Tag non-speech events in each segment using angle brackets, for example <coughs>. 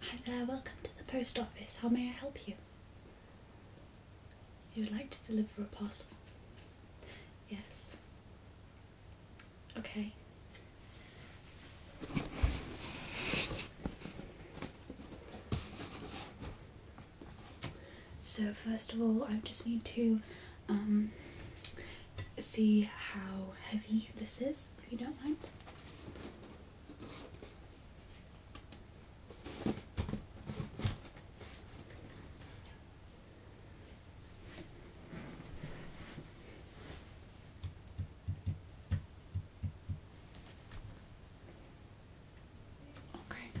Hi there, welcome to the post office. How may I help you? You would like to deliver a parcel? Yes. Okay. So first of all, I just need to um, see how heavy this is if you don't mind. Okay.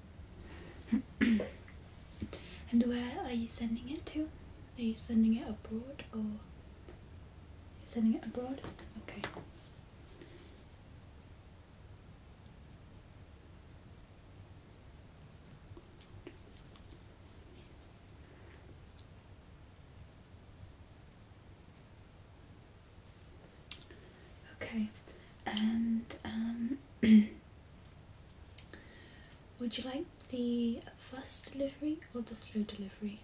<clears throat> and where are you sending it to? Are you sending it abroad or you sending it abroad? Okay. Okay, and um <clears throat> Would you like the fast delivery or the slow delivery?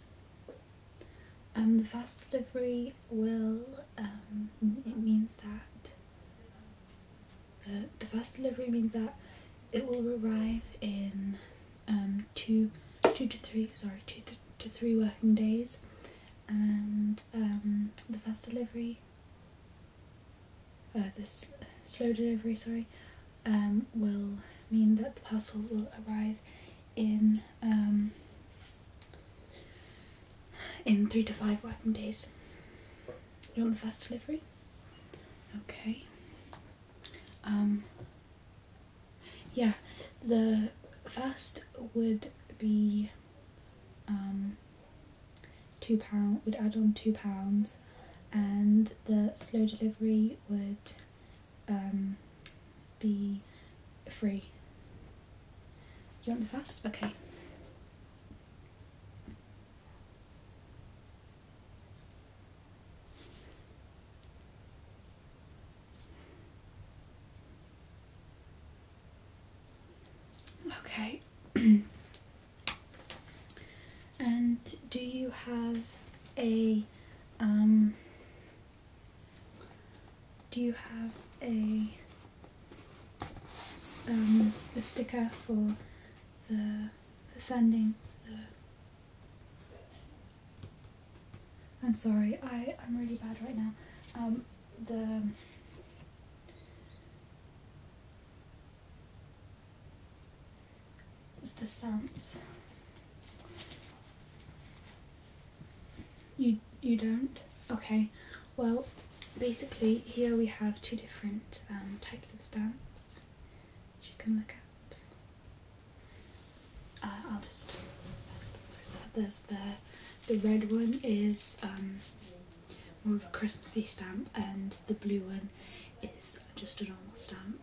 Um, the fast delivery will, um, it means that, uh, the fast delivery means that it will arrive in um, two, two to three, sorry, two to three working days and um, the fast delivery uh, this slow delivery, sorry, um, will mean that the parcel will arrive in um, in three to five working days. You want the fast delivery? Okay. Um, yeah, the fast would be um, two pound would add on two pounds, and the slow delivery would um, be free. You want the fast? Okay. Okay. <clears throat> And do you have a um, do you have a um, the sticker for the for sending I'm sorry, I, I'm really bad right now. Um, the it's the stance. You you don't? Okay. Well, basically here we have two different um, types of stance you can look at. Uh, I'll just there's the the red one is um, more of a Christmassy stamp and the blue one is just a normal stamp.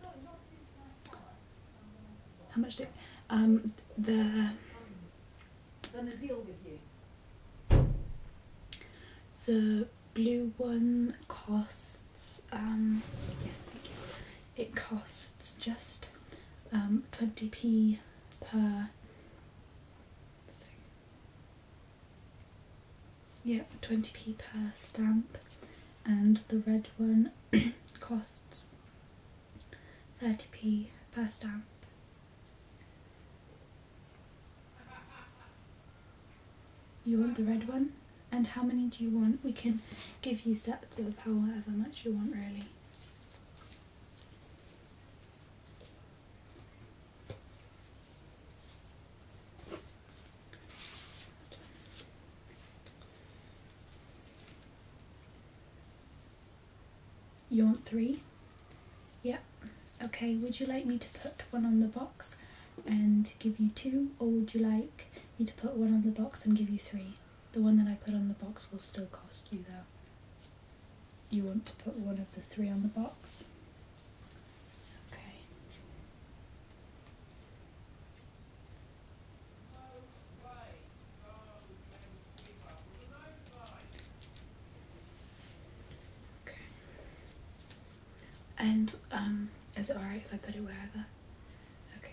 How much did um the the blue one costs um, it costs just 20p um, per yeah, 20p per stamp and the red one <coughs> costs 30p per stamp. You want the red one? And how many do you want? We can give you sets of however much you want really. You want three? Yep. Yeah. Okay, would you like me to put one on the box and give you two, or would you like me to put one on the box and give you three? The one that I put on the box will still cost you though you want to put one of the three on the box. Okay. Okay. And um, is it alright if I put it wherever? Okay.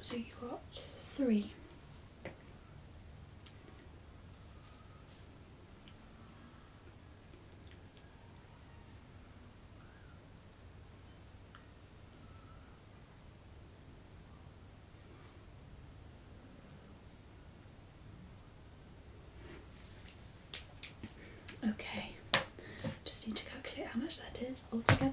So you got three. Okay, just need to calculate how much that is altogether.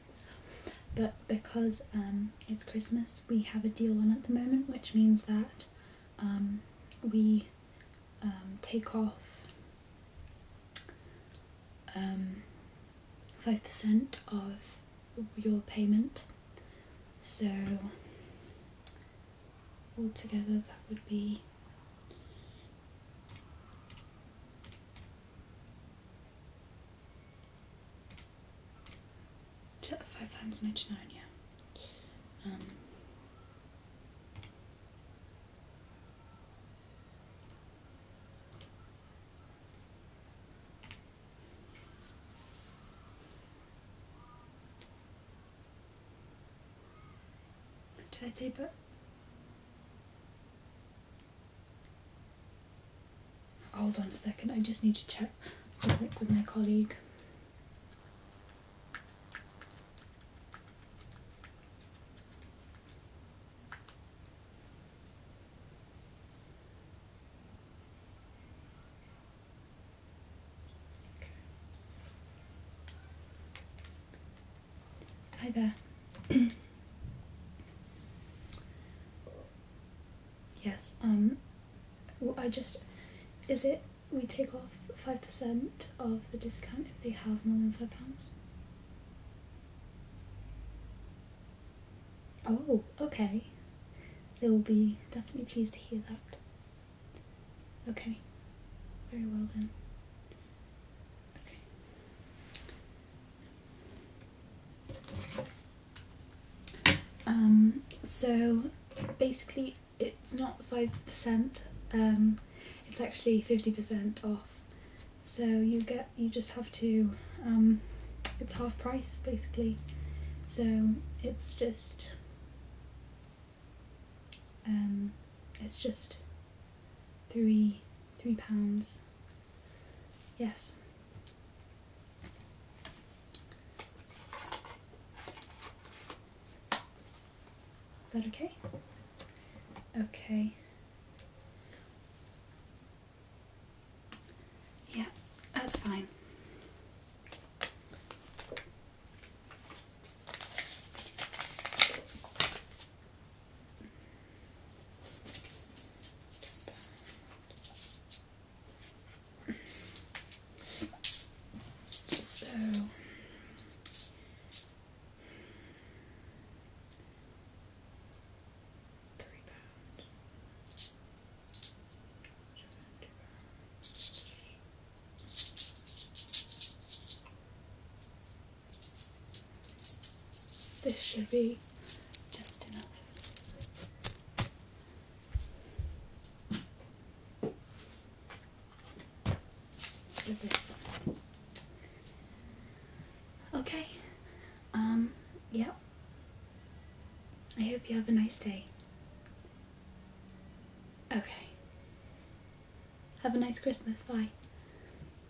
But because um, it's Christmas, we have a deal on at the moment, which means that um, we um, take off 5% of your payment. So altogether that would be five pounds ninety nine, yeah. Um, did I tape it? Hold on a second, I just need to check something with my colleague. Hi there. <coughs> yes, um, I just, is it, we take off 5% of the discount if they have more than £5? Oh, okay. They will be definitely pleased to hear that. Okay. Very well then. Okay. Um, so basically it's not 5%, um, it's actually 50% off. So you get, you just have to, um, it's half price basically. So it's just, it's just three, three pounds. Yes. that okay? Okay. Yeah, that's fine. So three pounds. Two pounds. This should be just enough. Look at this. Okay. Um, yeah. I hope you have a nice day. Okay. Have a nice Christmas. Bye.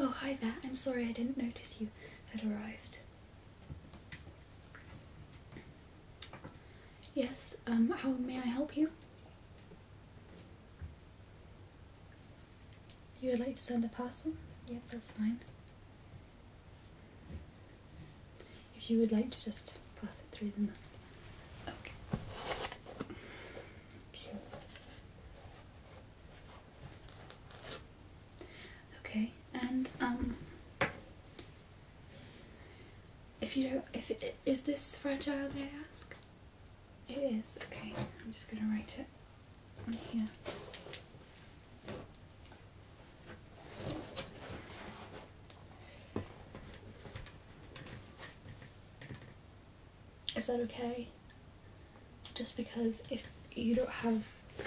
Oh, hi there. I'm sorry I didn't notice you had arrived. Yes, um, how may I help you? You would like to send a parcel? Yep, that's fine. If you would like to just pass it through, the that's fine. Okay. Cute. Okay, and um, if you don't, if it, is this fragile, may I ask? It is, okay. I'm just going to write it on here. Is that okay? Just because if you don't have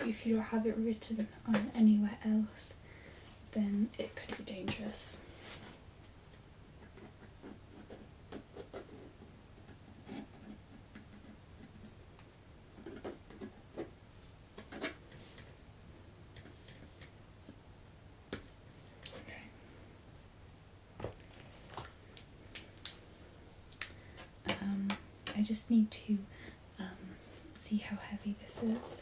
if you don't have it written on anywhere else then it could be dangerous. Um, I just need to um, see how heavy this is.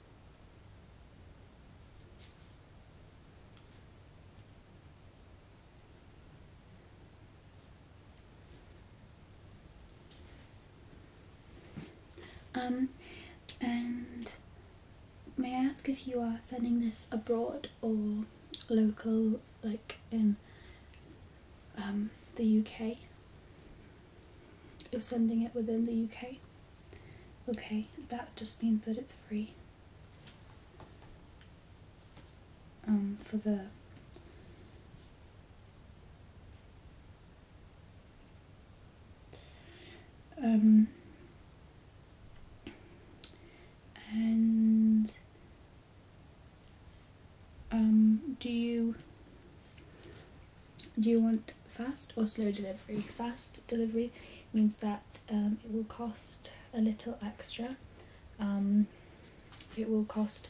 Um, and may I ask if you are sending this abroad or local, like in um, the UK? you're sending it within the UK. Okay, that just means that it's free. Um, for the um and um do you do you want fast or slow delivery? Fast delivery means that um, it will cost a little extra. Um, it will cost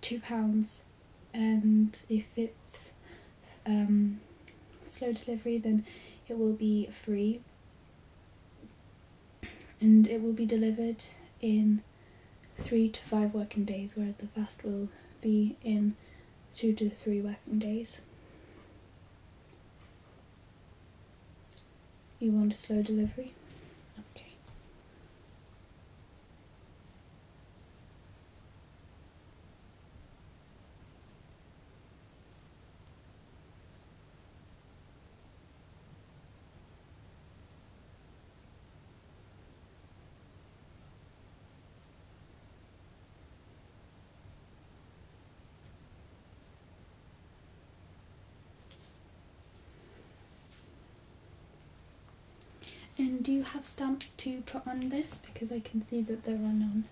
two pounds, and if it's um, slow delivery, then it will be free, and it will be delivered in three to five working days, whereas the fast will be in two to three working days. You want a slow delivery? Okay. And do you have stamps to put on this? Because I can see that there are none.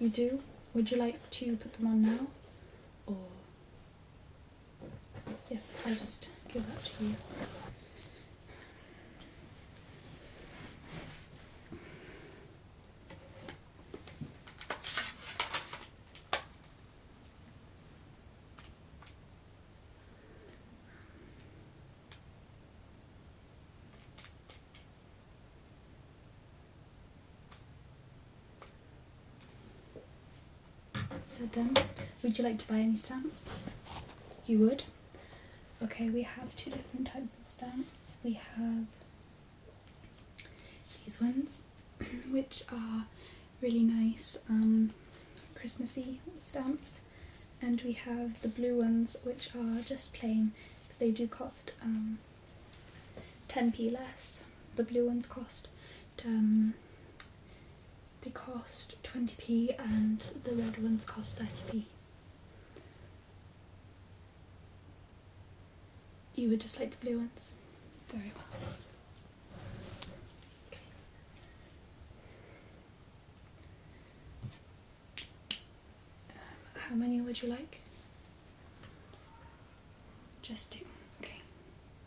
You do? Would you like to put them on now? Or Yes, I'll just give that to you. Is that Would you like to buy any stamps? You would? Okay, we have two different types of stamps. We have these ones, <clears throat> which are really nice um, Christmassy stamps. And we have the blue ones, which are just plain, they do cost 10p um, less. The blue ones cost um, they cost 20p and the red ones cost 30p. You would just like the blue ones? Very well. Um, how many would you like? Just two, okay.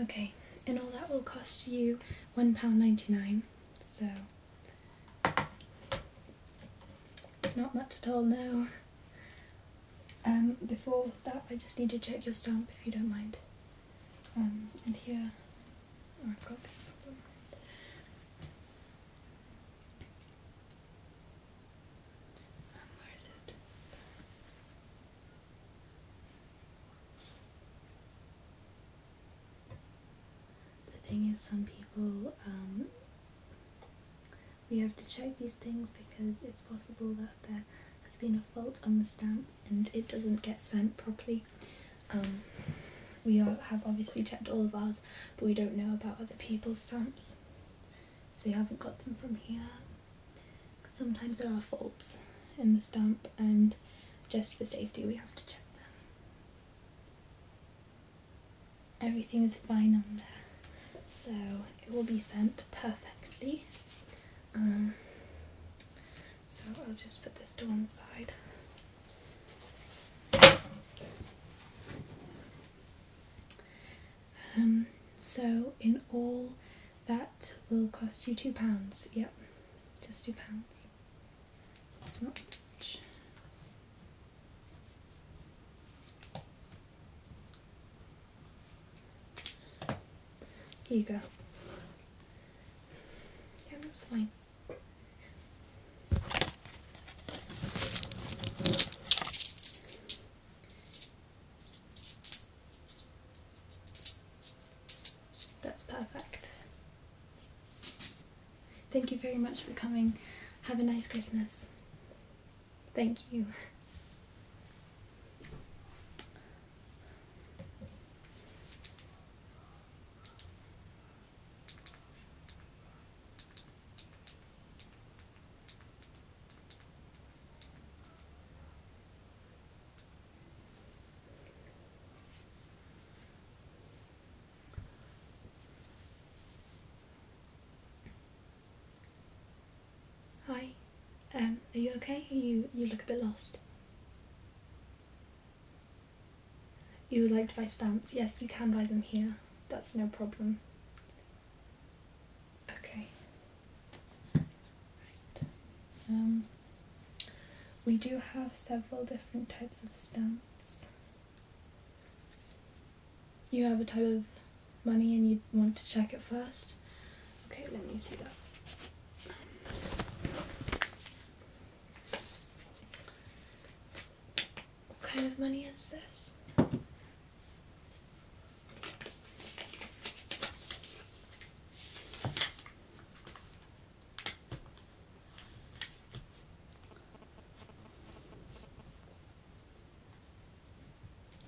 Okay, and all that will cost you £1.99, so it's not much at all now. Um, before that, I just need to check your stamp if you don't mind. Um, and here the thing is, some people, um, we have to check these things because it's possible that there has been a fault on the stamp and it doesn't get sent properly. Um, we all have obviously checked all of ours, but we don't know about other people's stamps. They haven't got them from here. Sometimes there are faults in the stamp, and just for safety, we have to check them. Everything is fine on there, so it will be sent perfectly. Um, so I'll just put this to one side. Um, so in all that will cost you two pounds. Yep, just two pounds. It's not much. Here you go. Yeah, that's fine. That's perfect. Thank you very much for coming. Have a nice Christmas. Thank you. Hi, um, are you okay? You you look a bit lost. You would like to buy stamps? Yes, you can buy them here. That's no problem. Okay. Right. Um, we do have several different types of stamps. You have a type of money and you want to check it first. Okay, let me see that. What kind of money is this?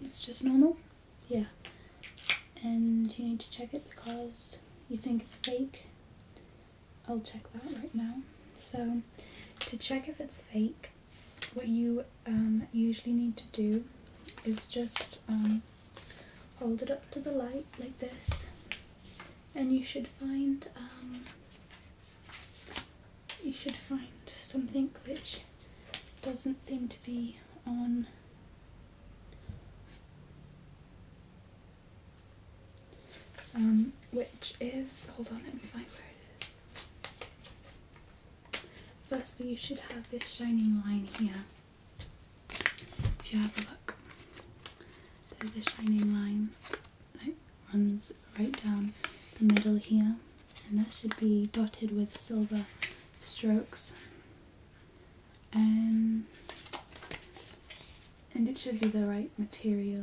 It's just normal? Yeah. And you need to check it because you think it's fake. I'll check that right now. So to check if it's fake, what you um, usually need to do is just um, hold it up to the light like this and you should find um, you should find something which doesn't seem to be on um, which is, hold on, let me find where it is. Firstly, you should have this shining line here. If you have a look, so the shining line runs right down the middle here, and that should be dotted with silver strokes and and it should be the right material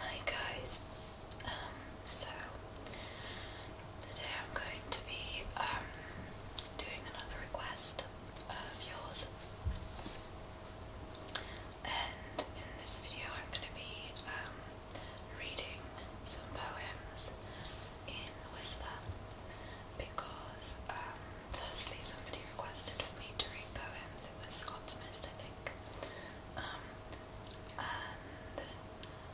Hi guys, um, so today I'm going to be um, doing another request of yours, and in this video I'm going to be um, reading some poems in Whisper because um, firstly somebody requested for me to read poems. It was Scott's I think. and